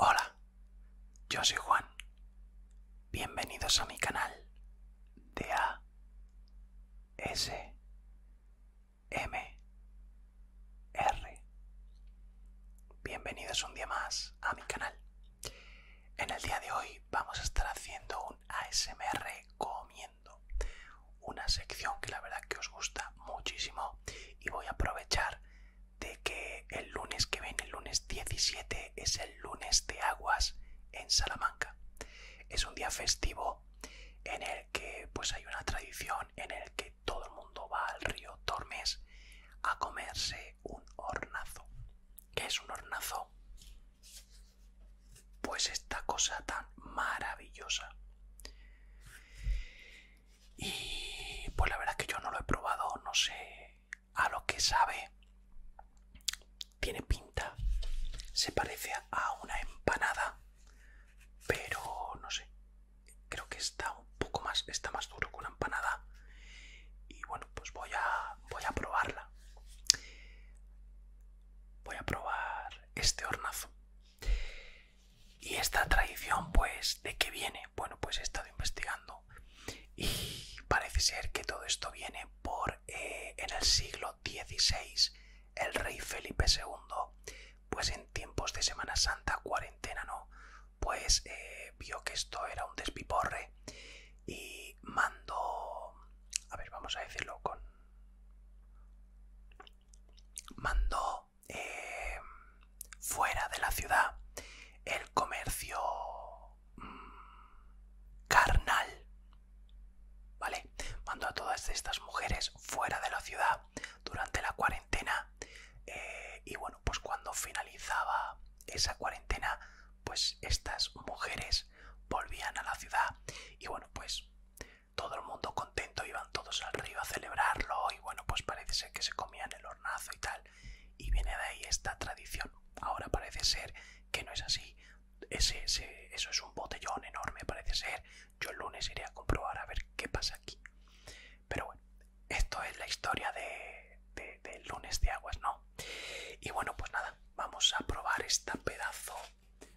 Hola, yo soy Juan. Bienvenidos a mi canal de A S M Bienvenidos un día más a mi canal. En el día de hoy vamos a estar haciendo un ASMR comiendo, una sección que la verdad que os gusta muchísimo y voy a aprovechar de que el lunes que viene, el lunes 17, es el lunes de aguas en Salamanca. Es un día festivo en el que pues hay una tradición en el que todo el mundo va al río Tormes a comerse un hornazo. ¿Qué es un hornazo? pues esta cosa tan maravillosa y pues la verdad que yo no lo he probado no sé a lo que sabe tiene pinta se parece a una empanada pero no sé creo que está un poco más está más duro que una empanada y bueno pues voy a, probarla. Voy a probar este hornazo. Y esta tradición, pues, ¿de qué viene? Bueno, pues he estado investigando y parece ser que todo esto viene por eh, en el siglo XVI, el rey Felipe II, pues en tiempos de Semana Santa, cuarentena, ¿no? Pues eh, vio que esto era un despiporre y mandó... a ver, vamos a decirlo con, Mandó eh, fuera de la ciudad el comercio mm, carnal, ¿vale? Mandó a todas estas mujeres fuera de la ciudad durante la cuarentena eh, y bueno, pues cuando finalizaba esa cuarentena pues estas mujeres volvían a la ciudad y bueno pues todo el mundo contento iban todos al río a celebrarlo y bueno pues parece ser que se comían el hornazo y tal y viene de ahí esta tradición ahora parece ser que no es así ese, eso es un botellón enorme parece ser yo el lunes iré a comprobar a ver qué pasa aquí pero bueno esto es la historia de de, lunes de aguas, ¿no? Y bueno, pues nada, vamos a probar este pedazo.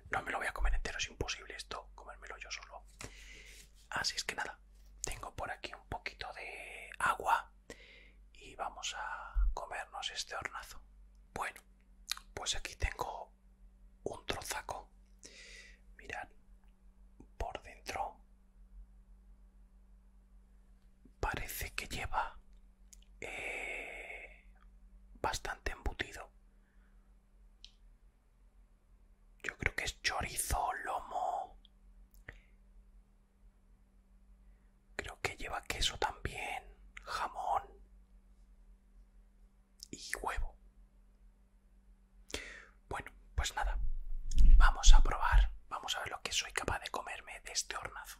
No me lo voy a comer entero, es imposible esto, comérmelo yo solo. Así es que nada, tengo por aquí un poquito de agua y vamos a comernos este hornazo. Bueno, pues aquí tengo un trozaco. Mirad, por dentro parece que lleva eh, bastante embutido. Yo creo que es chorizo, lomo. Creo que lleva queso también, jamón y huevo. Bueno, pues nada, vamos a probar, vamos a ver lo que soy capaz de comerme de este hornazo.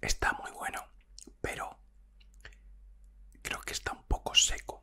Está muy bueno, pero creo que está un poco seco.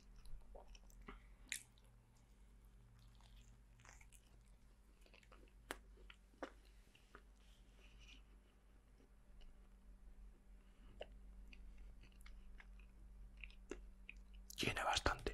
Tiene bastante.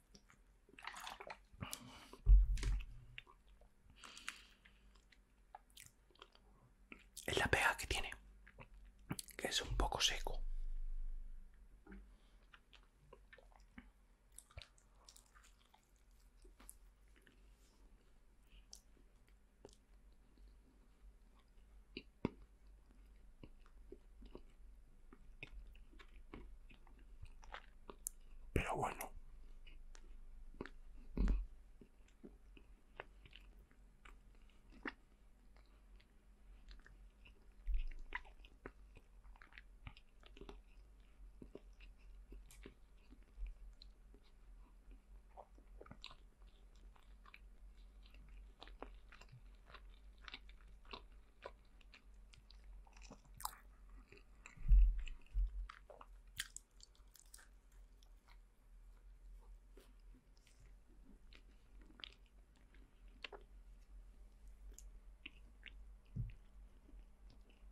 Es la pega que tiene, que es un poco seco. Pero bueno.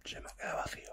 Se me queda vacío.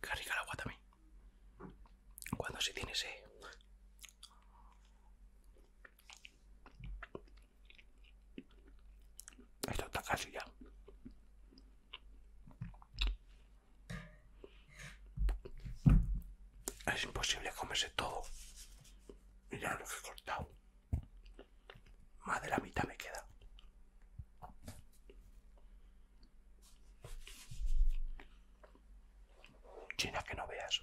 Qué rica el agua también. Cuando se tiene ese. Esto está casi ya. Es imposible comerse todo. Mira lo que he cortado. Más de la mitad me queda. China que no veas.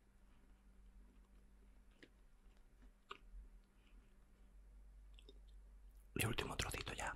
Y último trocito ya.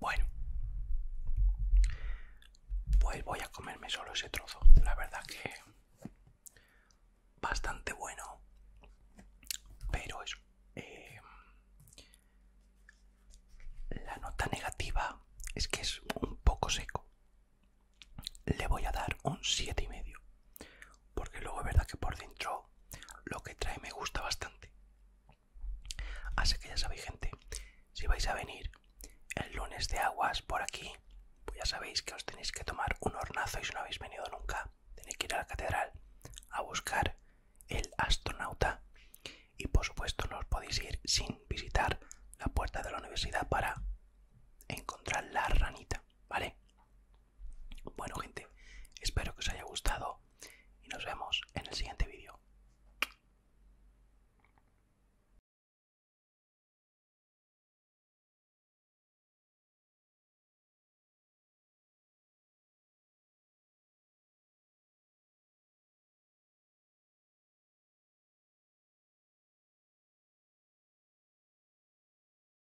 Bueno, pues voy a comerme solo ese trozo. La verdad que bastante bueno, pero es eh, la nota negativa es que es un poco seco. Le voy a dar un y 7,5 porque luego es verdad que por dentro lo que trae me gusta bastante. Así que ya sabéis gente, si vais a venir el lunes de aguas por aquí, pues ya sabéis que os tenéis que tomar un hornazo y si no habéis venido nunca, tenéis que ir a la catedral a buscar el astronauta y por supuesto no os podéis ir sin visitar la puerta de la universidad para encontrar la ranita, ¿vale? Bueno gente, espero que os haya gustado y nos vemos en el siguiente vídeo.